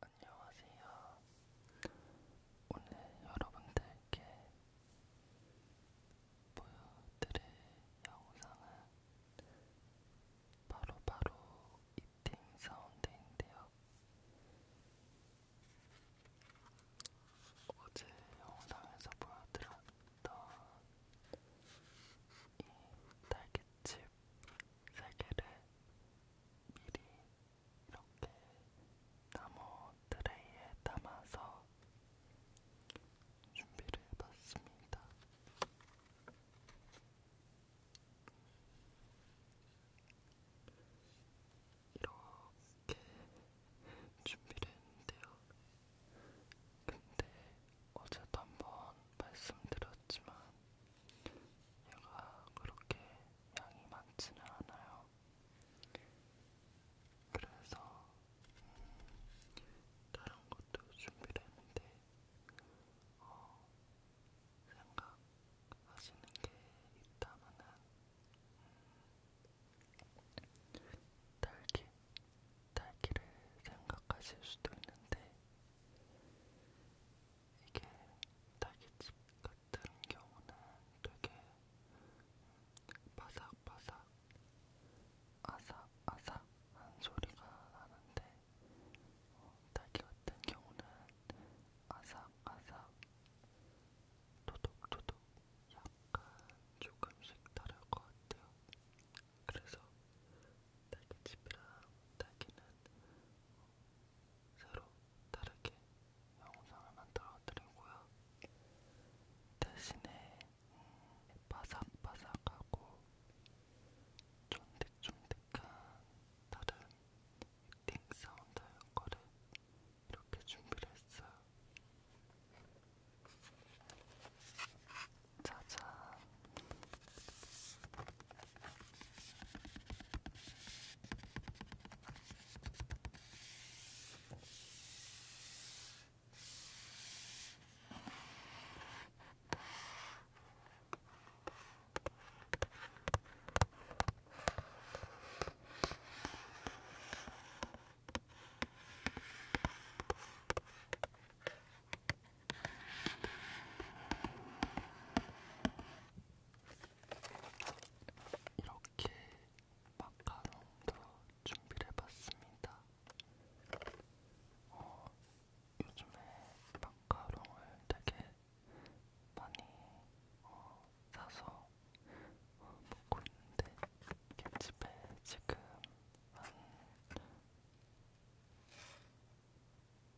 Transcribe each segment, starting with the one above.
안녕하세요. 오늘 여러분들께 보여드릴 영상은 바로바로 바로 이팅 사운드인데요. 어제 영상에서 보여드렸던 있었던 이 딸기칩 세 개를 미리 이렇게 나무 트레이에 담아서 준비를 해봤습니다. 이렇게 준비를 했는데요. 근데 어제도 한 번 말씀드렸지만 얘가 그렇게 양이 많지는 않아요. 그래서 음, 다른 것도 준비를 했는데 어, 생각하시는 게 있다면은 음, 딸기 딸기를 생각하실 수도 있는데 이게 딸기집 같은 경우는 되게 바삭바삭 아삭아삭한 소리가 나는데 어, 딸기 같은 경우는 아삭아삭 도둑도둑 약간 조금씩 다를 것 같아요. 그래서 딸기집이랑 딸기는 새로 다르게 영상을 만들어 드리고요. 대신에 음, 바삭바삭하고 쫀득쫀득한 다른 띵 사운드인 거를 이렇게 준비를 했어요. 짜잔. 이렇게 마카롱도 준비를 해봤습니다. 어, 요즘에 마카롱을 되게 많이 어, 사서 어, 먹고 있는데, 김집에 지금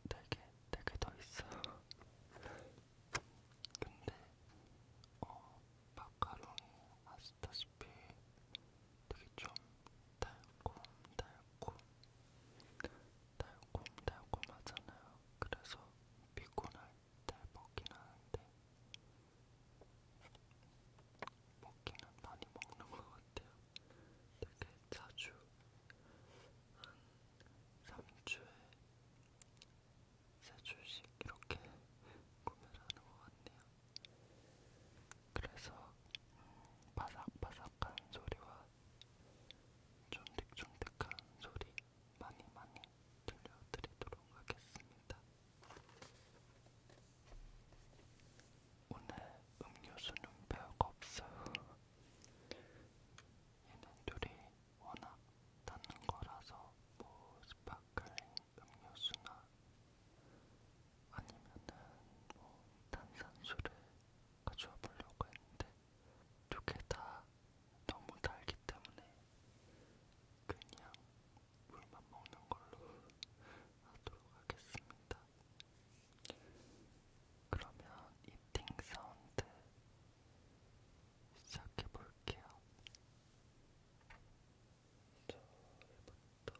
한네개네개더 있어. 근데 어 마카롱이 아시다시피 되게 좀 달콤 달콤 달콤 달콤하잖아요. 그래서 피곤할 때 먹긴 하는데 먹기는 많이 먹는 것 같아요. 되게 자주 한 3주에 3주씩 이렇게 구매를 하는 것 같네요. 그래서 음, 바삭바삭한 소리와 쫀득쫀득한 소리 많이 많이 들려드리도록 하겠습니다. 오늘 음료수는 별거 없어요. 얘네들이 워낙 닿는 거라서 뭐 스파클링 음료수나 아니면은 뭐 탄산수를 가져와 보려고 했는데 두 개 다 너무 달기 때문에 그냥 물만 먹는 걸로 하도록 하겠습니다. 그러면 이팅 사운드 시작해 볼게요. 저부터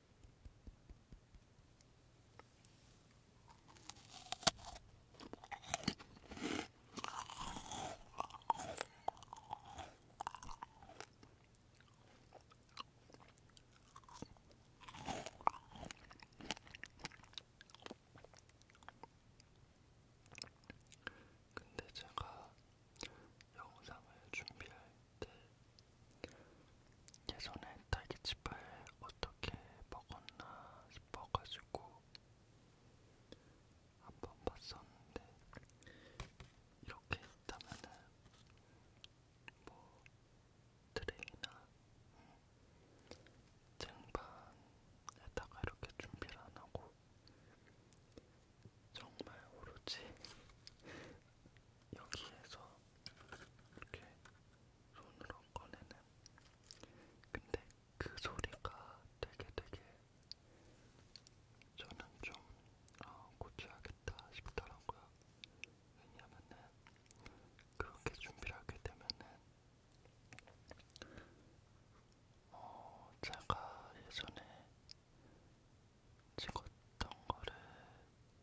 근데 제가 영상을 준비할 예전에 네. 딸기칩을 어떻게 먹었나 싶어가지고 한번 봤었는데 이렇게 있다면은 뭐 트레이나 쟁반에다가 음, 이렇게 준비를 안 하고 정말 오로지 여기에서 이렇게 손으로 꺼내는 근데 그 소리가 되게 되게 저는 좀 어, 고쳐야겠다 싶더라고요. 왜냐면은 그렇게 준비를 하게 되면은 어, 제가 예전에 찍었던 거를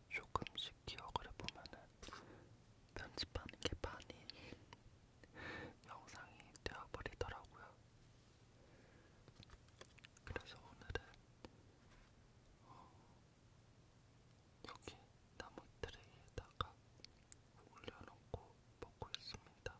조금씩 기억을 해보면은 편집하는 게 반인 영상이 되어버리더라고요. 그래서 오늘은 어, 여기 나무 트레이에다가 올려놓고 먹고 있습니다.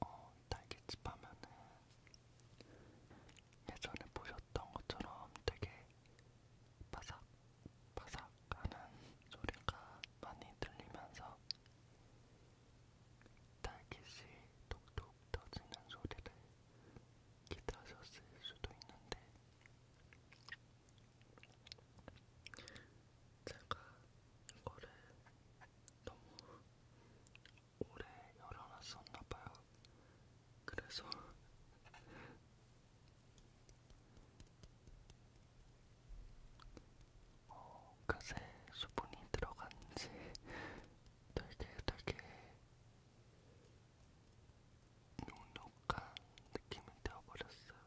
어, 딸기집 하면은 예전에 보셨던 것처럼 되게 바삭 바삭하는 소리가 많이 들리면서 딸기씨 톡톡 터지는 소리를 기다셨을 수도 있는데 제가 이거를 너무 오래 열어놨었나봐요. 그래서 어, 그새 수분이 들어간지 되게 되게 눅눅한 느낌이 되어버렸어요.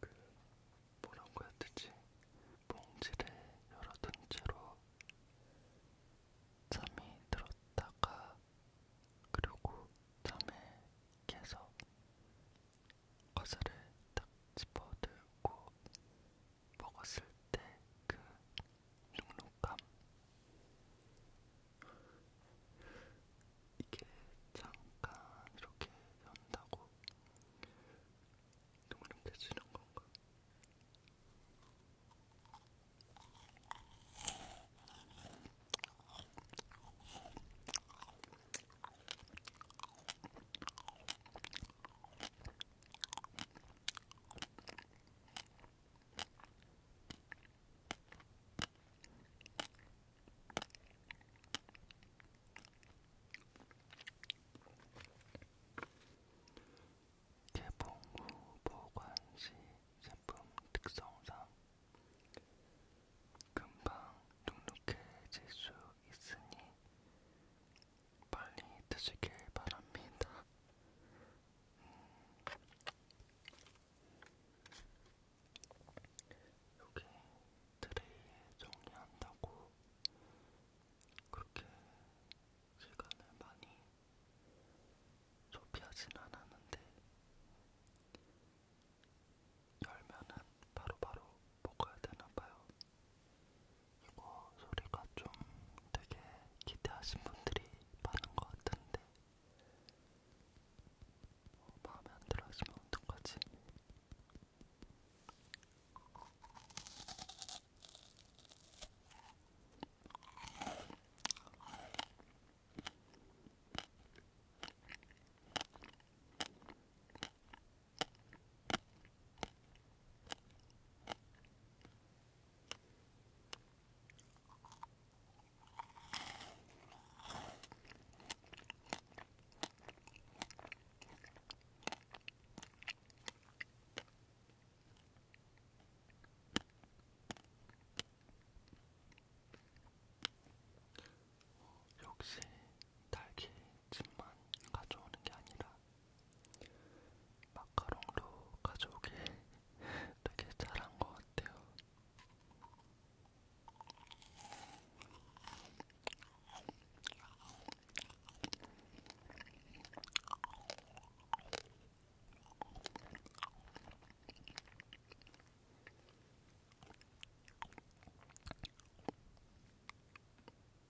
그 뭐라고 해야 되지? 봉지를 열어둔 채로 잠이 들었다가 그리고 잠에 깨서 과자를 딱 집어들고 먹었을 때그 눅눅함 이게 잠깐 이렇게 연다고 동그림대지는 건가? 개봉 후 보관 시 제품 특성상 금방 눅눅해질 수 있으니 빨리 드시길 바랍니다. 음. 여기 트레이에 정리한다고 그렇게 시간을 많이 소비하진 않았는데 열면은 바로바로 바로 먹어야 되나봐요. 이거 소리가 좀 되게 기대하신 분들이 많은 것 같은데 어, 마음에 안 들어 하시면 어떡하지? 역시 달기 집만 가져오는 게 아니라 마카롱도 가져오길 되게 잘한 것 같아요.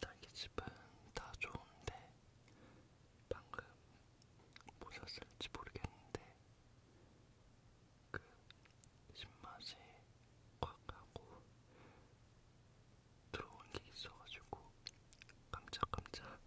딸기집은 다 좋은데 방금 보셨을지 모르겠는데 그 신맛이 꽉 하고 들어온 게 있어가지고 깜짝깜짝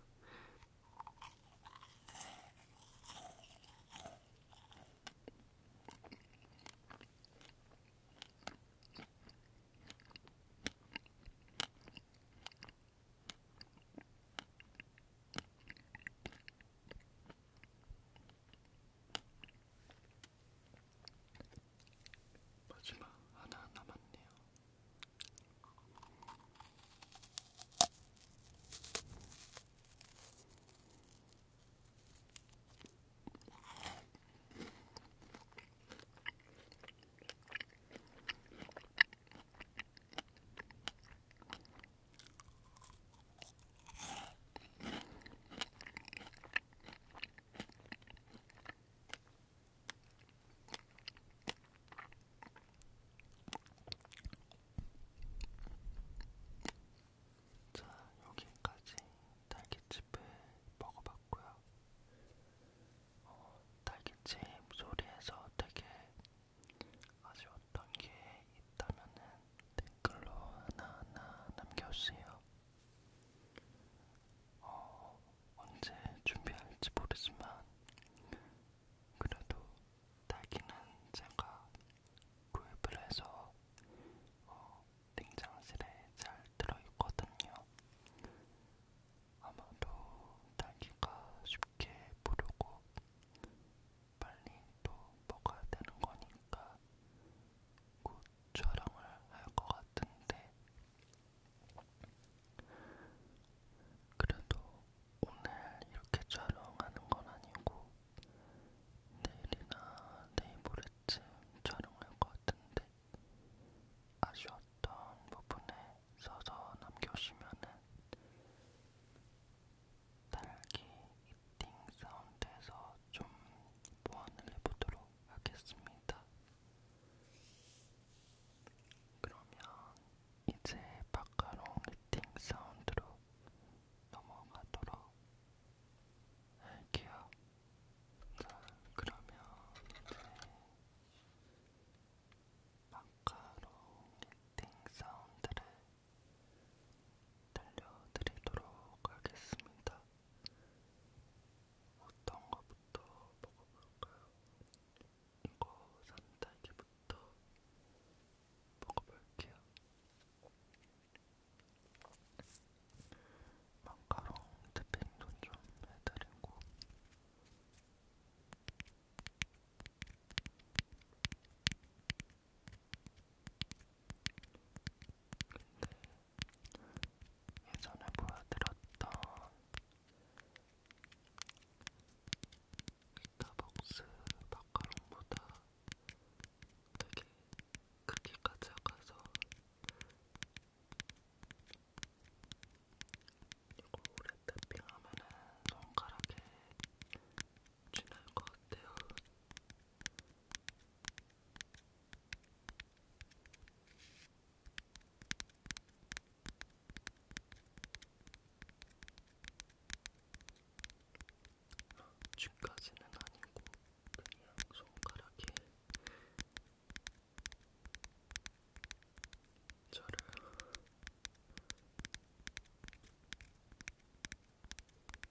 마지막 하나 남았네요. 자, 여기까지 딸기칩을 먹어봤고요. 어, 딸기칩 소리에서 되게 아주 어떤 게 있다면은 댓글로 하나하나 남겨주세요. 어, 언제 준비할지 모르지만 그래도 딸기는 제가 구입을 해서 어, 냉장실에 잘 들어있거든요. 아마도 딸기가 쉽게 부르고 빨리 또 먹어야 되는 거니까 곧 촬영을 할 것 같은데 그래도 오늘 이렇게 촬영하는 건 아니고 내일이나 내일모레쯤 촬영할 것 같은데 아쉬웠던 부분에 써서 남겨주시면은 딸기 이팅 사운드에서 좀 보완을 해보도록 하겠습니다. 그러면 이제 마카롱 이팅 사운드로 넘어가도록 할게요. 자, 그러면 이제 마카롱 이팅 사운드를 들려드리도록 하겠습니다. 어떤 거부터 먹어볼까요? 이거 산딸기부터 먹어볼게요. 마카롱 토핑도 좀 해드리고 근데 예전에 보여드렸던 스타벅스 마카롱보다 되게 크기가 작아서 이거 오래 탭핑하면은 손가락에 진할 것 같아요. 쥐까지는 아니고 그냥 손가락에 저를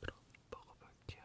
그럼 먹어볼게요.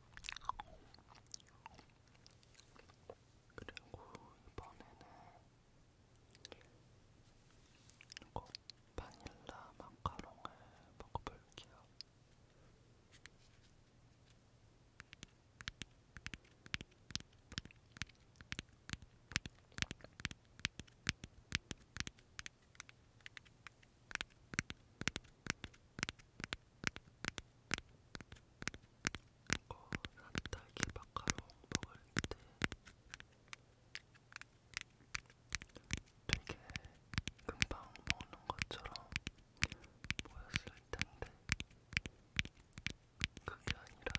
그리고 이번에는 이거 바닐라 마카롱을 먹어볼게요. 이거 산딸기 마카롱 먹을 때 되게 금방 먹는 것처럼 보였을 텐데 그게 아니라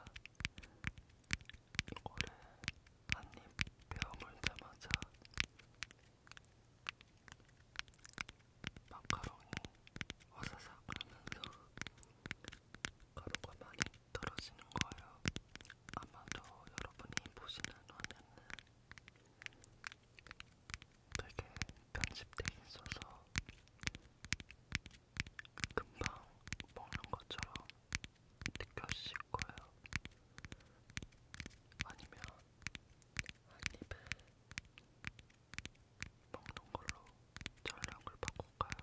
이거를 한입 베어 물자마자 마카롱이 와사삭 하면서 가루가 많이 떨어지는 거예요. 아마도 여러분이 보시는 화면은 되게 편집돼 있어서 금방 먹는 것처럼 느껴지실 거예요. 아니면 한입에 먹는 걸로 전략을 바꿀까요?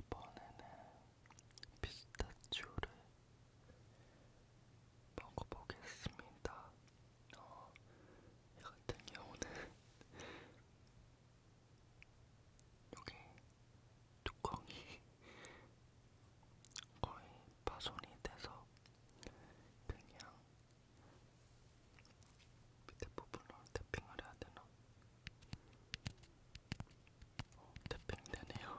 이번에는 피스타치오를 먹어보겠습니다. 어, 이 같은 경우는 여기 뚜껑이 거의 파손이 돼서 그냥 밑에 부분으로 태핑을 해야 되나? 어, 태핑 되네요.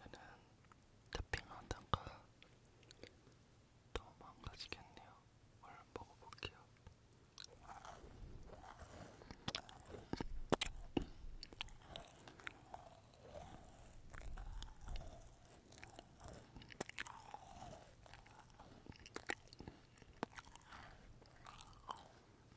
얘는 태핑하다가 더 망가지겠네요. 얼른 먹어볼게요.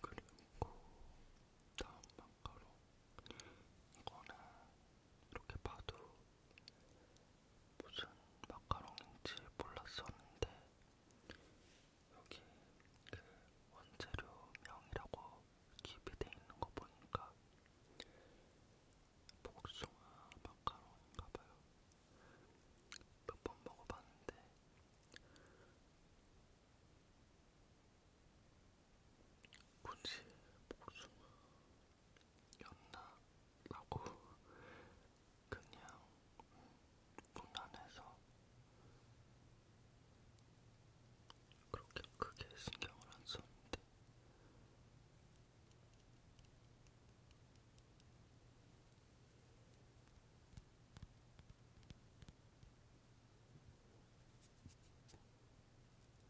그리고 다음 마카롱 이거는 이렇게 봐도 무슨 마카롱인지 몰랐었는데 여기 그 원재료명이라고 기입이 돼 있는 거 보니까 복숭아 마카롱인가봐요. 몇 번 먹어봤는데 굳이 복숭아였나? 라고 그냥 무난해서 음, 그렇게 크게 신경을 안 썼는데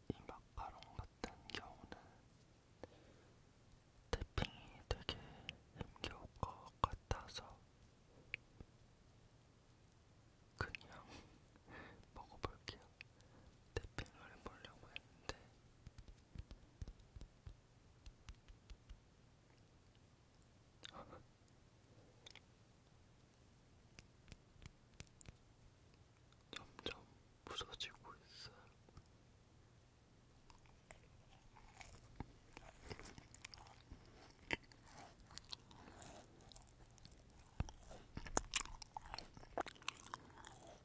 이 마카롱 같은 경우는 태핑이 되게 힘겨울 것 같아서 그냥 먹어볼게요. 태핑을 해보려고 했는데 점점 부서지고 있어요.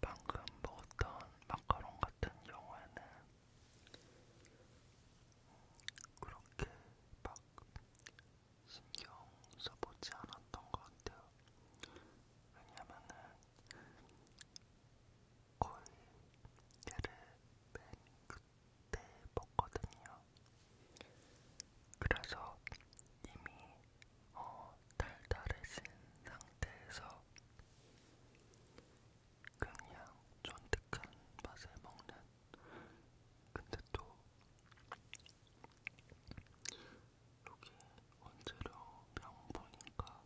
방금 먹었던 마카롱 같은 경우에는 그렇게 막 신경 써보지 않았던 것 같아요. 왜냐면은 콜게를 맨 끝에 먹거든요. 그래서 이미 어, 달달해진 상태에서 그냥 쫀득한 맛을 먹는 근데 또 여기 원재료 명 보니까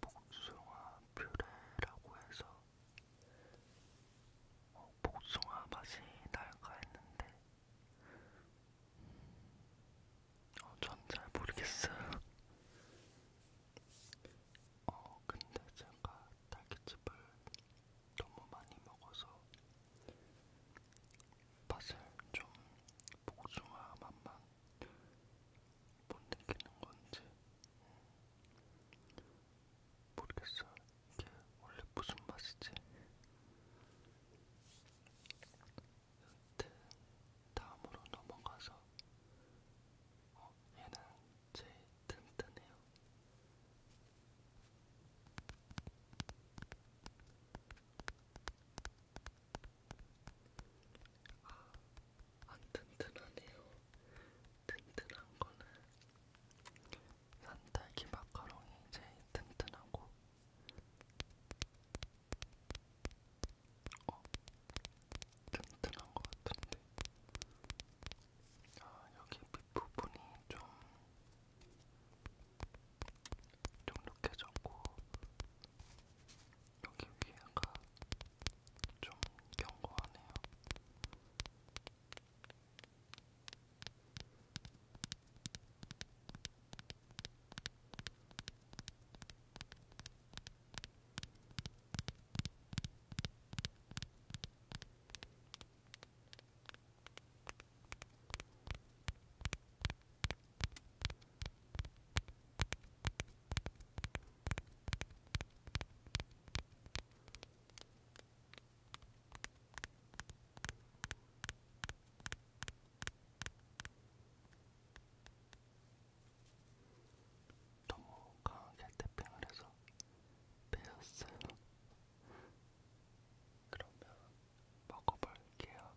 복숭아 퓨레라고 해서 어, 복숭아 맛이 날까 했는데 어, 전잘 모르겠어요. 어, 근데 제가 딸기집을 너무 많이 먹어서 맛을 좀 복숭아 맛만 못 느끼는 건지 모르겠어요. 이게 원래 무슨 맛이지? 여튼 다음으로 넘어가서 어, 얘는 제일 튼튼해요. 아, 안 튼튼하네요. 튼튼한 거는 산딸기 마카롱이 제일 튼튼하고, 어, 튼튼한 것 같은데. 아, 여기 밑 부분이 좀 쫀득해졌고 여기 귀가 좀 견고하네요. 음, 너무 강하게 태핑을 해서 빼었어요. 그러면 먹어볼게요.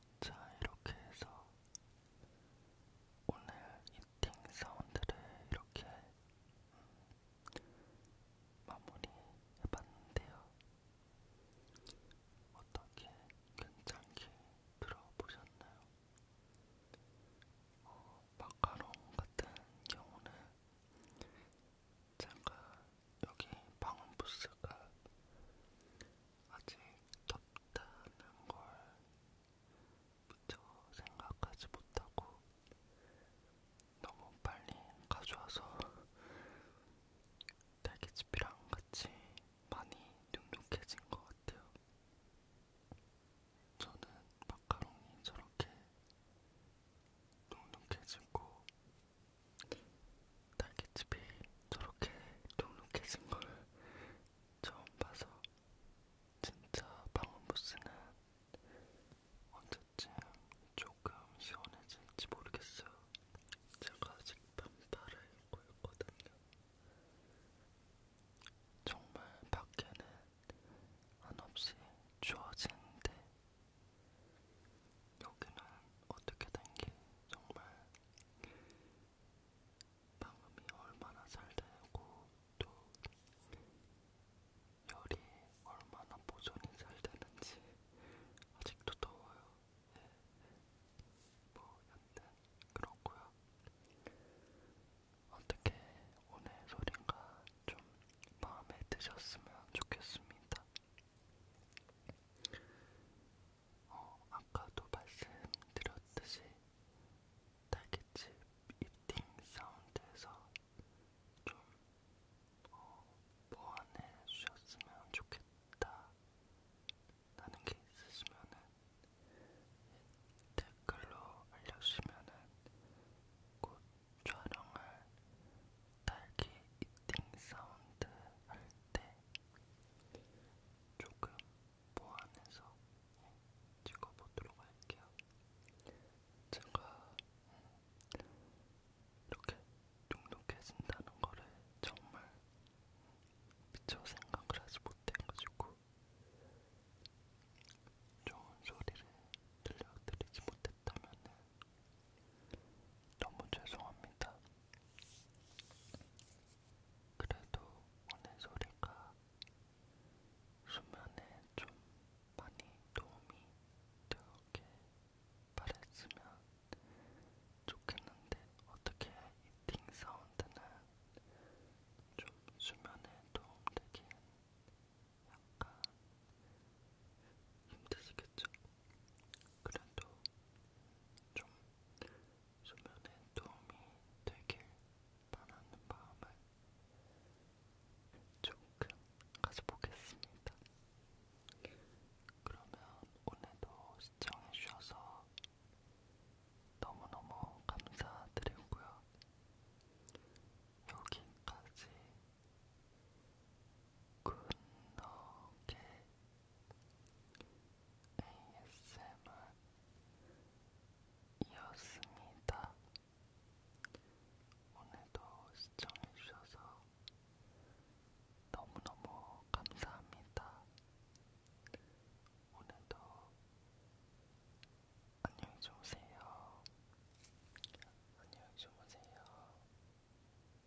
자, 이렇게 해서 오늘 이팅 사운드를 이렇게 음, 마무리 해봤는데요. 어떻게 괜찮게 들어보셨나요? 어, 마카롱 같은 경우는 제가 여기 방음부스가 아직 덥다는 걸 미처 생각하지 못하고 너무 빨리 가져와서 딸기집이랑 같이 많이 눅눅해진 것 같아요. 저는 마카롱이 저렇게 눅눅해지고 딸기집이 저렇게 눅눅해진 걸 처음 봐서 진짜 방음부스는 언제쯤 조금 시원해질지 모르겠어요. 제가 아직 반팔을 입고 있거든요. 정말 밖에는 한없이 추워지는데 여기는 어떻게 된 게 정말 방음이 얼마나 잘 되고 또 열이 얼마나 보존이 잘 되는지 아직도 더워요. 예. 뭐 여튼 그렇고요. 어떻게 오늘 소린가 좀 마음에 드셨으면 좋겠습니다. 어, 아까도 말씀드렸듯이 딸기집 입팅 사운드에서 좀 어, 보완해 주셨으면 좋겠다 라는 게 있으시면은 댓글로 알려주시면은 곧 촬영을 딸기 이팅 사운드 할 때 조금 보완해서 찍어보도록 할게요. 제가 이렇게 눅눅해진다는 거를 정말 미처 생각을 하지 못해가지고 좋은 소리를 들려드리지 못했다면 너무 죄송합니다. 그래도 오늘 소리가 수면에 좀 많이 도움이 되게 바랬으면 좋겠는데 어떻게 이팅 사운드는 좀 수면에 도움되긴 약간 힘드시겠죠? 그래도 좀 수면에 도움이 되길 바라는 마음을 조금 가져보겠습니다. 그러면 오늘도 시청해주셔서 너무너무 감사드리고요. 여기까지 굿노게 ASMR이었습니다. 오늘도 시청해주셔서 너무너무 감사합니다. 오늘도 안녕히 주무세요. 안녕히 주무세요.